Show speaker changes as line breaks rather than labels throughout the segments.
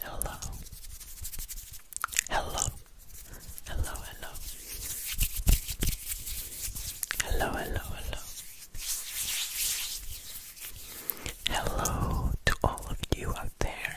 Hello. Hello. Hello, hello. Hello, hello, hello. Hello to all of you out there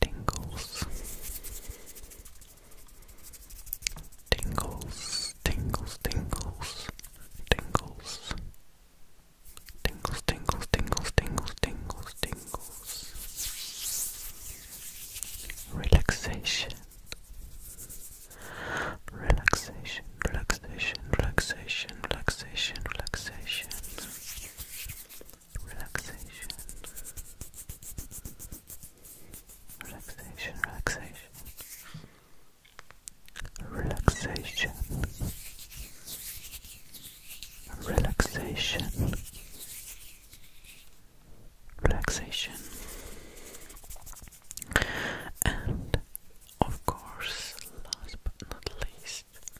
tingles, tingles, tingles, tingles, tingles, tingles, tingles, tingles, tingles, tingles, tingles, relaxation. Relaxation, relaxation, relaxation, relaxation, relaxation relaxation, relaxation, relaxation, relaxation, relaxation, relaxation, and of course, last but not least.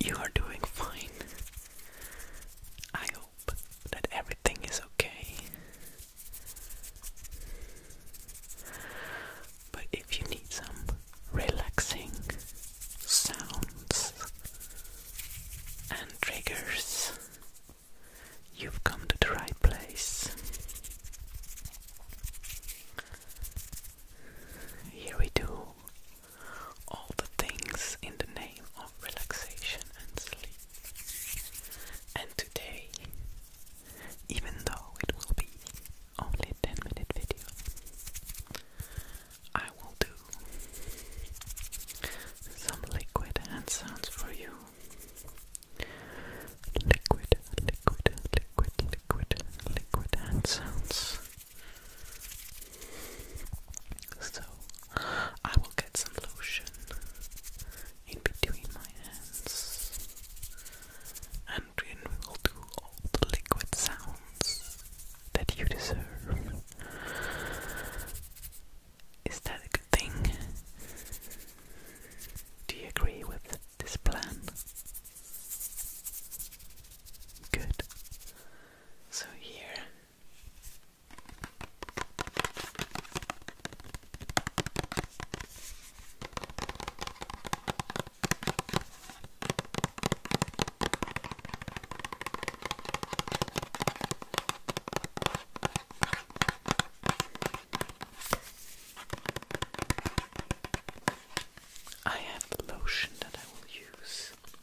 you are doing fine. I hope that everything is okay. But if you need some relaxing sounds and triggers, you've come to the right place. Here we do all the things in the name of relaxation and sleep. And today, even though it will be only 10 minute video, I will do some liquid hand sounds for you. Liquid, liquid, liquid, liquid, liquid hand sounds. So I will get some lotion in between my hands and then we will do all the liquid sounds that you deserve. Is that a good thing? Do you agree with this plan? Good. So here I have the lotion that I will use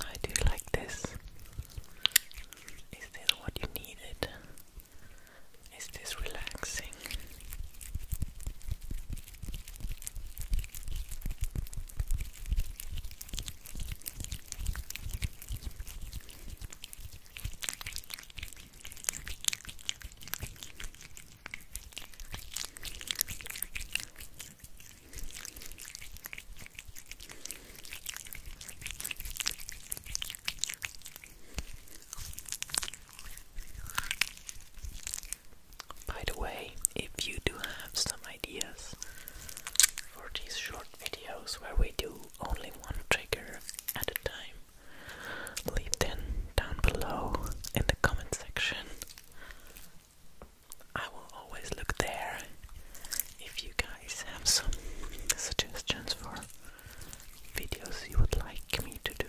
I do like this. Is this what you needed? Is this relaxing? By the way, if you do have some ideas for these short videos where we do only one trigger at a time, leave them down below in the comment section. I will always look there if you guys have some suggestions for videos you would like me to do.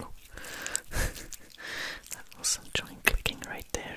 Oh, that was some joint clicking right there.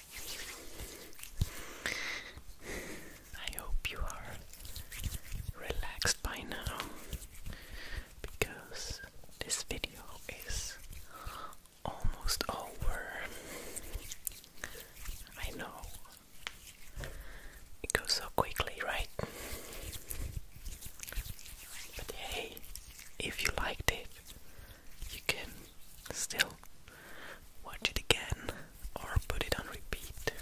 I hope you are relaxed by now because this video is almost over. I know it goes so quickly, right? But hey, if you liked it, you can still watch it again or put it on repeat.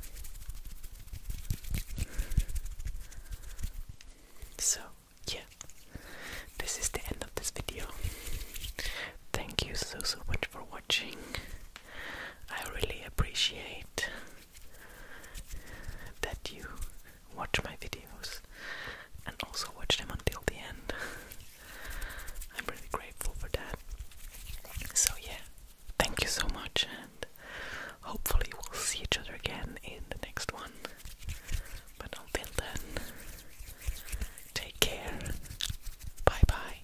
So, yeah, this is the end of this video. Thank you so so much for watching. I really appreciate that you watch my videos and also watch them until the end. I'm really grateful for that. So, yeah, thank you so much, and hopefully, we'll see each other again in the next one. But until then, take care. Bye bye.